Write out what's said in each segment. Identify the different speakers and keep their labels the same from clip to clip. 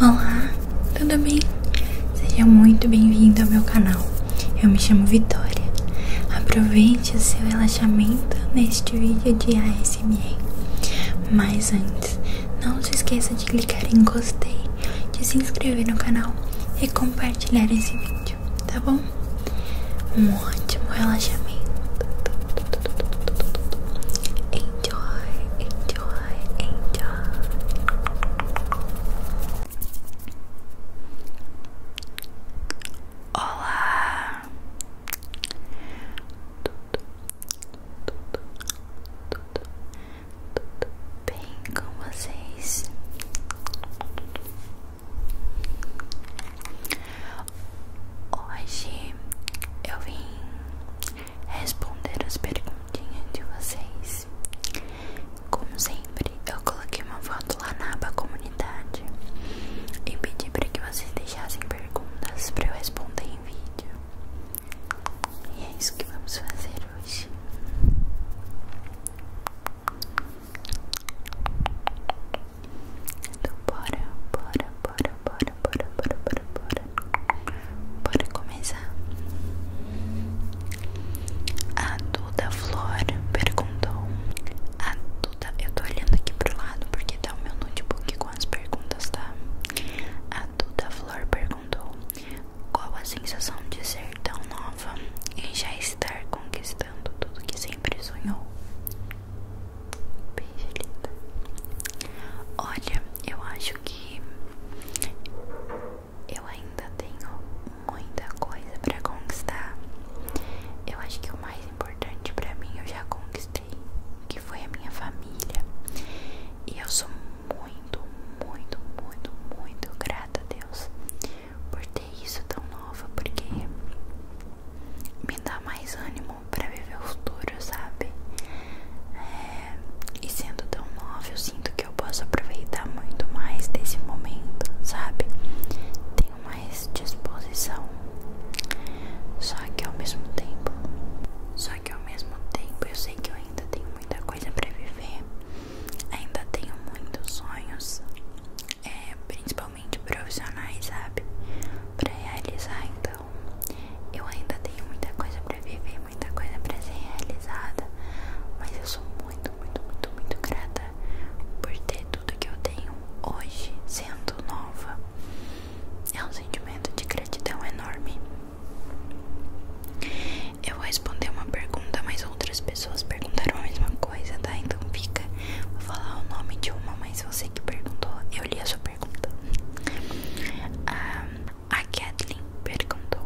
Speaker 1: Olá, tudo bem? Seja muito bem-vindo ao meu canal. Eu me chamo Vitória. Aproveite o seu relaxamento neste vídeo de ASMR. Mas antes, não se esqueça de clicar em gostei, de se inscrever no canal e compartilhar esse vídeo, tá bom? Um ótimo relaxamento. Enjoy, enjoy enjoy, Olá. tudo bem com vocês? Hoje eu vim responder às perguntinhas de vocês. Como sempre, eu coloquei uma foto lá na aba comunidade e pedi para que vocês deixassem perguntas para eu responder em vídeo. E é isso que vamos fazer hoje. Então bora, bora, bora, bora, bora, bora, bora, bora, bora. começar. A Duda Flor perguntou. A Duda, eu tô olhando aqui pro lado porque tá o meu notebook com as perguntas, tá? A Duda Flor perguntou qual a sensação de ser tão nova e já estar conquistando tudo que sempre sonhou. Beijo linda. Olha, eu acho que eu ainda tenho muita coisa para conquistar. Eu acho que o mais importante para mim eu já conquistei, que foi a minha família. E eu sou muito, muito, muito, muito grata a Deus por ter isso tão novo, porque me dá mais ânimo para previver o futuro, sabe? É, e sendo tão nova, eu sinto que eu posso aproveitar muito mais desse momento, sabe? Tenho mais disposição. Só que ao mesmo tempo, só que ao mesmo tempo, eu sei que eu ainda tenho muita coisa para viver. Ainda tenho muitos sonhos, é, principalmente profissionais, sabe? Pra realizar, então então, eu ainda tenho muita coisa para viver, muita coisa para ser realizada, mas eu sou muito, muito, muito, muito grata por ter tudo que eu tenho hoje, sendo nova. É um sentimento de gratidão enorme. Eu vou responder uma pergunta, mas outras pessoas perguntaram a mesma coisa, tá? Então fica, vou falar o nome de uma, mas você que perguntou, eu li a sua pergunta. Ah, a Kathleen perguntou: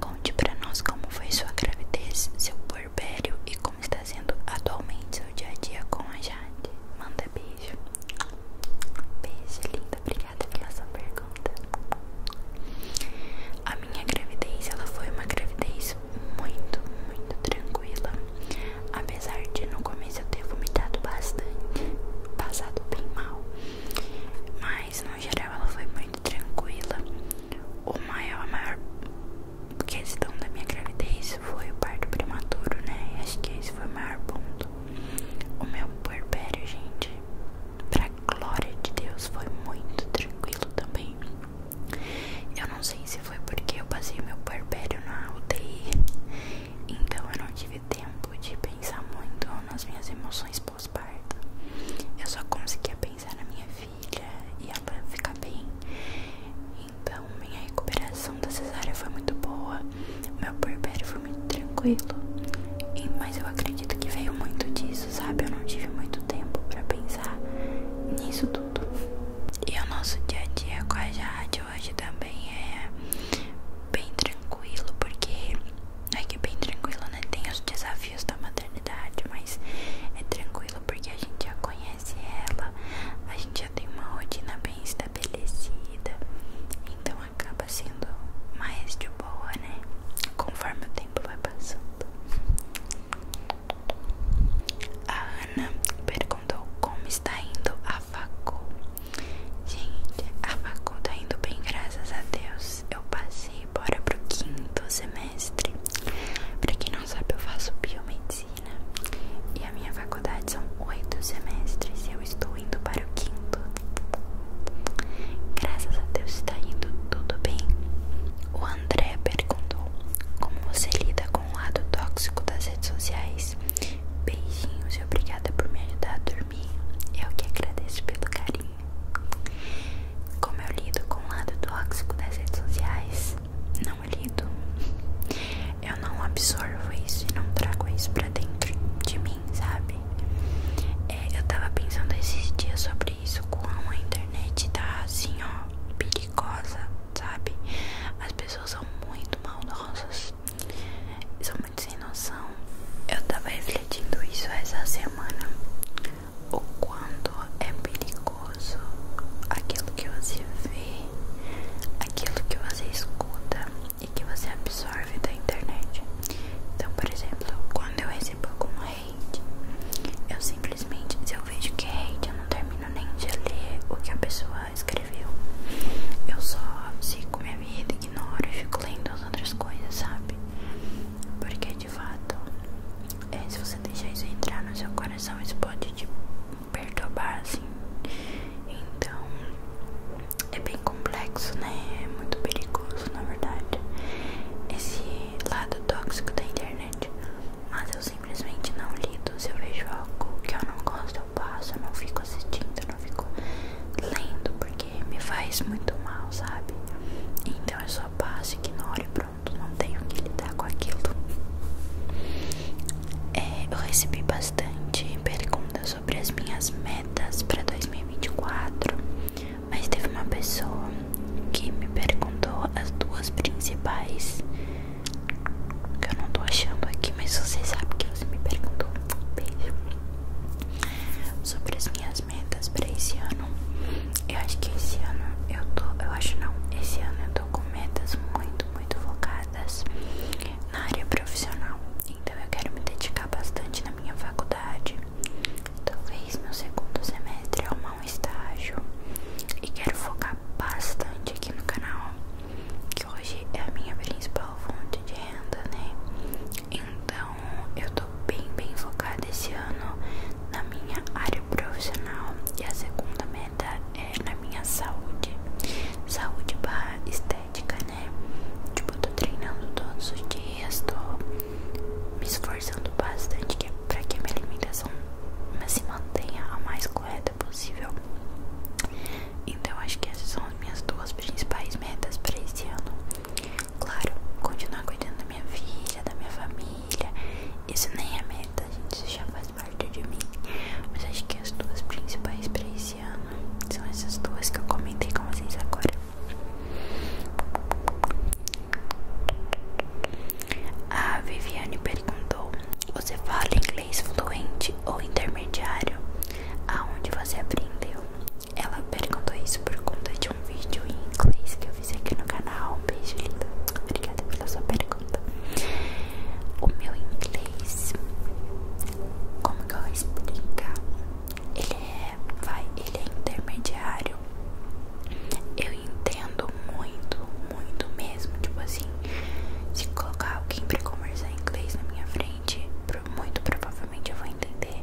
Speaker 1: Conte para nós como foi sua gravidez, seu puerpério e como está sendo atualmente seu dia a dia com a Jade. Manda beijo. Beijo, linda. Obrigada pela sua pergunta. A minha gravidez, ela foi uma gravidez muito, muito tranquila. Apesar de no começo eu ter vomitado bastante, passado bem mal. Mas no geral ela foi muito tranquila. O maior, a maior questão da minha gravidez foi o parto prematuro, né? Acho que esse foi o maior ponto. O meu puerpério, gente, pra glória de Deus, foi muito tranquilo também. Eu não sei se foi porque eu passei meu puerpério na UTI então eu não tive tempo de pensar muito nas minhas emoções pós-parto. Eu só conseguia pensar na minha filha e ela ficar bem. Então minha recuperação da cesárea foi muito boa. Meu puerpério foi muito tranquilo. mas eu acredito que veio muito disso, sabe? Eu não tive muito tempo para pensar nisso tudo. E o nosso dia a dia com a Jade hoje também é bem tranquilo tranquilo, porque é que é bem tranquilo, né? Tem os desafios da maternidade, mas é tranquilo porque a gente já conhece ela, a gente já tem uma rotina bem estabelecida, então acaba sendo mais de boa, né? Conforme o tempo vai passando. A Ana perguntou como está indo a a Gente, a faculdade tá indo bem, graças a Deus. Eu passei bora pro quinto semestre. Pra quem não sabe, eu faço biomedicina. E a minha faculdade são oito semestres. E eu estou indo para o quinto. Graças a Deus tá indo tudo bem. O André perguntou como você lida com o lado tóxico das redes sociais. Beijinhos e obrigada por me ajudar a dormir mim. Eu que agradeço pelo carinho. Como eu lido com o lado tóxico das redes sociais, não lido. Eu não absorvo isso e não trago isso pra dentro de mim, sabe? É, eu tava pensando esses dias sobre isso, como a internet tá assim, ó, perigosa, sabe? As pessoas são muito maldosas Sou muito sem noção. Eu tava refletindo isso essa semana. O quanto é perigoso aquilo que você vê, aquilo que você escuta e que você absorve da internet. Então, por exemplo, quando eu recebo algum hate, eu simplesmente, se eu vejo que é hate, eu não termino nem de ler o que a pessoa escreveu. Eu só sigo minha vida ignoro e fico lendo as outras coisas, sabe? Porque de fato, é, se você deixar isso entrar no seu coração, isso pode te perturbar, assim. Então, é bem complexo, né? É muito perigoso, na verdade, esse lado tóxico da internet. Mas eu simplesmente não lido se eu vejo algo que eu não gosto eu passo, eu não fico assistindo, eu não fico lendo, porque me faz muito mal, sabe? Então eu só passo, ignoro e pronto, não tenho que lidar com aquilo. É, eu recebi bastante perguntas sobre as minhas metas para 2024, mas teve uma pessoa que me perguntou as duas principais que eu não tô achando aqui, mas você sabe que você me perguntou. Beijo sobre as minhas metas para esse ano. Eu acho que esse ano eu tô, eu acho não, esse ano eu tô com metas muito, muito focadas na área profissional. Então eu quero me dedicar bastante na minha faculdade. Talvez no segundo semestre eu arrumar um estágio. E quero focar bastante aqui no canal, que hoje é a minha principal fonte de renda, né? Então eu tô bem, bem focada esse ano na minha área profissional e a segunda meta é na minha saúde. Saúde barra estética, né? Tipo, eu tô treinando todos os dias, tô me esforçando bastante que é pra que a minha alimentação se assim, mantenha a mais correta possível. Então acho que essas são as minhas duas principais metas para esse ano. Claro, continuar cuidando da minha vida, da minha família. Isso nem é meta, gente, isso já faz parte de mim. Mas acho que as duas principais para esse ano são essas duas que eu comentei com vocês agora. A Viviane perguntou: Você fala inglês fluente ou intermediário? Aonde você aprendeu? Ela perguntou isso por conta de um vídeo em inglês que eu fiz aqui no canal. beijo, linda. Obrigada pela sua pergunta. O meu inglês, como que eu vou explicar? Ele é, vai, ele é intermediário. Eu entendo muito, muito mesmo. Tipo assim, se colocar alguém pra conversar em inglês na minha frente, muito provavelmente eu vou entender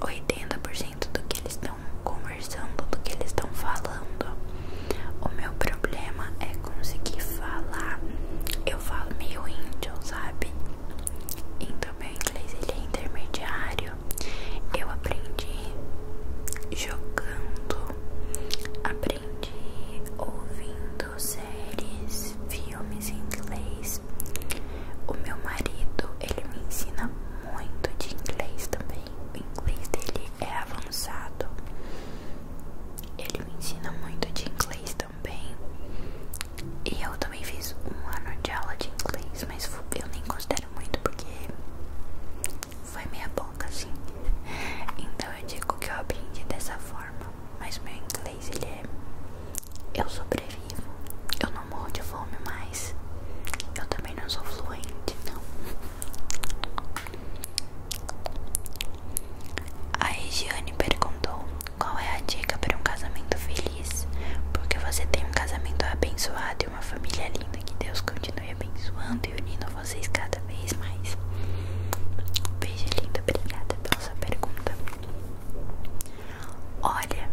Speaker 1: 80% do que eles estão conversando, do que eles estão falando. O meu problema é conseguir falar. Eu falo meio índio, sabe? Então meu inglês ele é intermediário. Eu aprendi jogando, aprendi ouvindo, séries, filmes em inglês. O meu marido, ele me ensina muito de inglês também. O inglês dele é avançado. Ele me ensina muito de inglês também. E eu também fiz um ano de aula de inglês, mas eu nem considero muito porque foi meia boca assim. Então eu digo que eu aprendi dessa forma mas meu inglês ele é eu sobrevivo, eu não morro de fome mais, eu também não sou fluente não. A Regiane perguntou qual é a dica para um casamento feliz, porque você tem um casamento abençoado e uma família linda que Deus continue abençoando e unindo vocês cada vez mais. Beijo lindo, obrigada pela sua pergunta. Olha,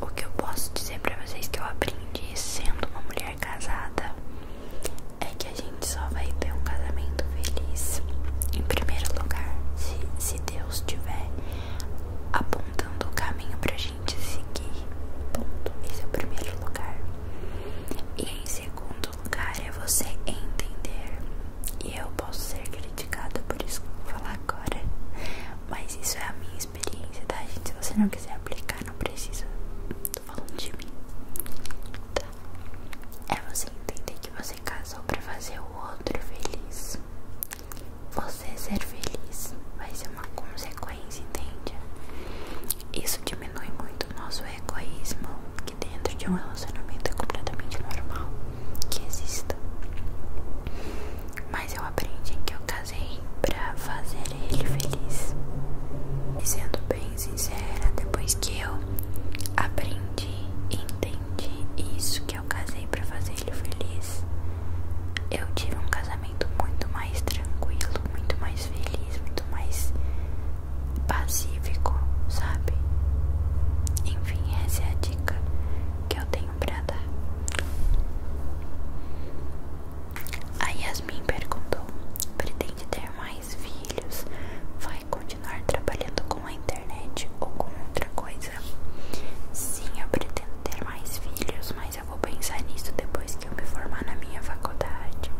Speaker 1: o que eu posso dizer pra vocês que eu aprendi sendo uma mulher casada é que a gente só vai ter um casamento feliz, em primeiro lugar, se, Deus estiver apontando o caminho pra gente seguir. Ponto. Esse é o primeiro lugar. E em segundo lugar é você entender. E eu posso ser criticada por isso que vou falar agora, mas isso é a minha experiência, tá, gente? Se você não quiser aplicar, não precisa. Tô falando de mim, tá. É você entender que você casou pra fazer o outro feliz. Você ser feliz vai ser uma consequência, entende? Isso diminui muito o nosso egoísmo, dentro de um relacionamento é completamente normal que exista. Mas eu aprendi que eu casei pra fazer ele feliz. E sendo bem sincera, depois que eu aprendi e entendi isso que eu casei pra fazer ele feliz, eu tive um casamento muito mais tranquilo, muito mais feliz, muito mais passivo ficou, sabe? Enfim, essa é a dica que eu tenho pra dar. A Yasmin perguntou: pretende ter mais filhos? Vai continuar trabalhando com a internet ou com outra coisa? Sim, eu pretendo ter mais filhos, mas eu vou pensar nisso depois que eu me formar na minha faculdade.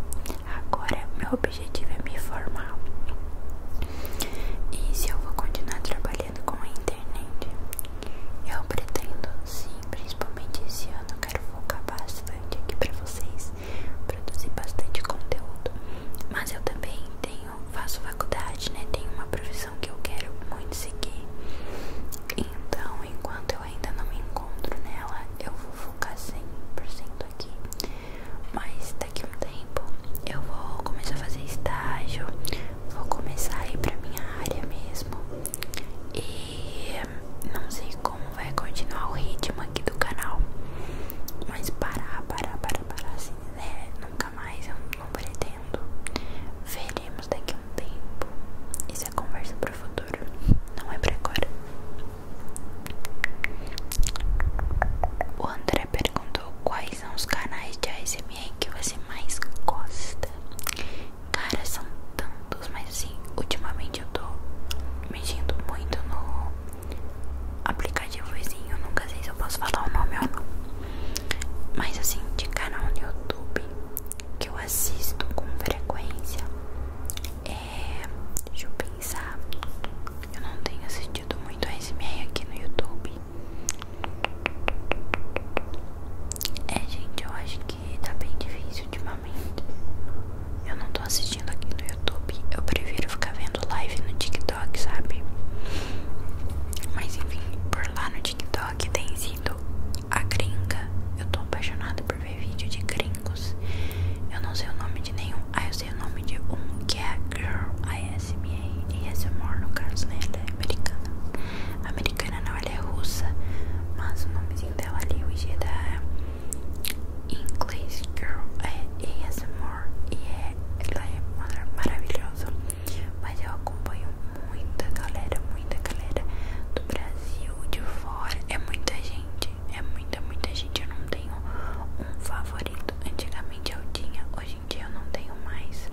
Speaker 1: Agora, meu objetivo é me formar. E se eu vou continuar trabalhando com a internet? Eu pretendo sim, principalmente esse ano, quero focar bastante aqui pra vocês, produzir bastante conteúdo. Mas eu também tenho, faço faculdade, né? Tenho uma profissão que eu quero muito seguir. Então, enquanto eu ainda não me encontro nela, eu vou focar 100% aqui mas daqui a um tempo eu vou começar a fazer estágio, vou começar a ir pra minha área mesmo. E não sei como vai continuar o ritmo aqui do canal. Mas parar, parar, parar, parar assim, né? Nunca mais eu não pretendo. Veremos daqui a um tempo. Isso é conversa pro futuro, não é pra agora. O André perguntou quais são os canais de ASMR que você mais gosta. Cara, são tantos, mas assim, ultimamente eu tô mexendo muito no aplicativozinho, nunca sei se eu posso falar o nome ou não. Mas assim, de canal no YouTube que eu assisto com frequência é. Deixa eu pensar. Eu não tenho assistido assistido muito SMR aqui no YouTube. É, gente, eu acho que tá bem difícil ultimamente. Eu não tô assistindo aqui no YouTube. Eu prefiro ficar vendo live no TikTok, sabe? Mas enfim, por lá no TikTok tem sido a gringa. Eu tô apaixonada por ver vídeo de gringos. Eu não sei o nome de nenhum. Ah, eu o nome de um que é Girl ASMR e ASMR no caso, né? Ela é americana. Americana não, ela é russa, mas o nomezinho dela ali hoje é da English Girl é ASMR e é, ela é maravilhosa. Mas eu acompanho muita galera, muita galera do Brasil, de fora. É muita gente, é muita, muita gente. Eu não tenho um favorito. Antigamente eu tinha, hoje hoje dia eu não tenho mais.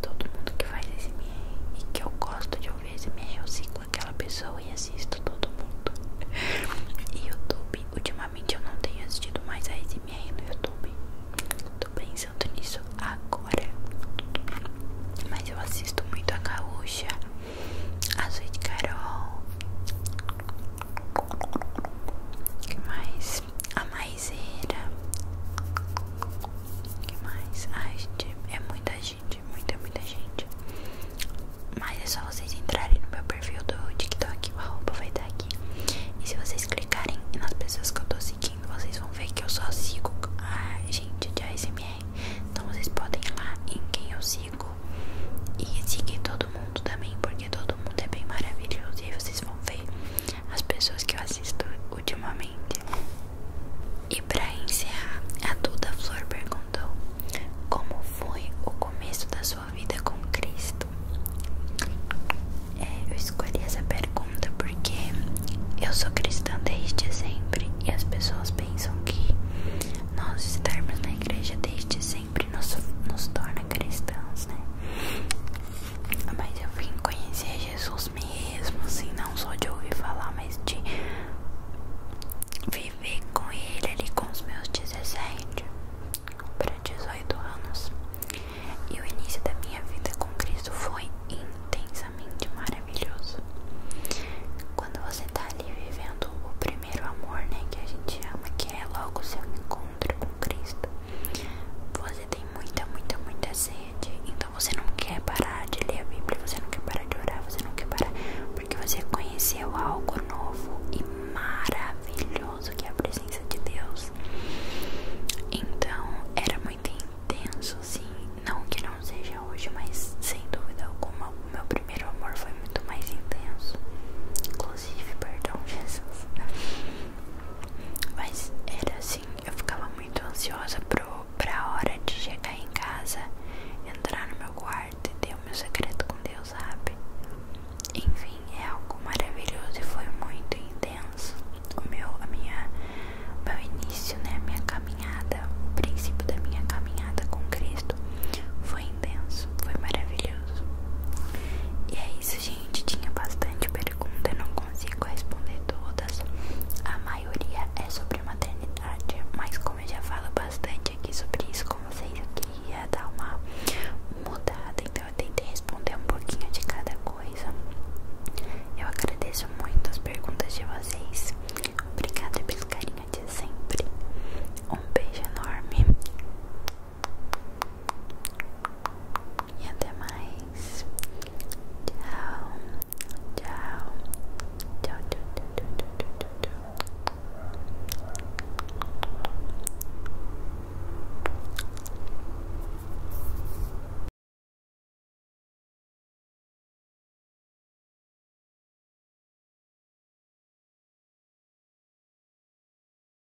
Speaker 1: Todo mundo que faz SMR e que eu gosto de ouvir SMR, eu sigo aquela pessoa e assisto todo mundo. E YouTube, ultimamente eu não tenho assistido mais a SMR no YouTube. Tô pensando nisso agora. Mas eu assisto muito a Gaúcha, a Sweet Carol. que mais? A Maísa Taizeira. que mais? Ai, gente, é muita gente, muita, muita gente. Mas é só vocês entrarem no meu perfil do TikTok, o arroba vai dar tá aqui. E se vocês clicarem nas pessoas que eu tô seguindo, vocês vão ver que eu só sigo a gente de ASMR. Então vocês podem ir lá em quem eu sigo e seguir todo mundo também, porque porque todo mundo é bem maravilhoso e aí vocês vão ver as pessoas que eu assisto ultimamente. E pra encerrar, a Duda Flor perguntou: Como foi o começo da sua vida com Cristo? É, eu escolhi essa pergunta porque eu sou cristã desde sempre e as pessoas pensam que nós estarmos na igreja desde sempre nos, nos torna cristãos, né? Mas eu vim conhecer Jesus mesmo, assim, não só de ouvir falar, mas de viver com ele ali com os meus 17 para 18 anos. E o início da minha vida com Cristo foi intensamente maravilhoso. Quando você está ali vivendo o primeiro amor, né, que a gente ama, que é logo o seu encontro com Cristo. Você tem muita, muita, muita sede. Então você não quer parar de ler a Bíblia, você não quer parar de orar, você não quer parar. Porque você conheceu algo novo e maravilhoso que é a presença de Deus. Então era muito intenso, sim. Não que não seja hoje, mas sem dúvida alguma, o meu primeiro amor foi muito mais intenso. Inclusive, perdão, Jesus. Mas era assim, eu ficava muito ansiosa pro, pra hora de chegar em casa, entrar no meu quarto e ter o meu segredo com Deus, sabe? Enfim, é algo maravilhoso e foi muito intenso o meu, a minha, o meu início, né? A minha caminhada, o princípio da minha caminhada com Cristo foi intenso, foi maravilhoso. E é isso, gente. Tinha bastante pergunta, eu não consigo responder todas. A maioria é sobre maternidade, mas como eu já falo bastante aqui sobre isso com vocês, eu queria dar uma mudada, então eu tentei responder um pouquinho de cada coisa. Eu agradeço muito as perguntas de vocês. Obrigada pelo carinho de sempre. Um beijo enorme. E até mais. Tchau. Tchau. Tchau, tchau, tchau, tchau, tchau, tchau, tchau.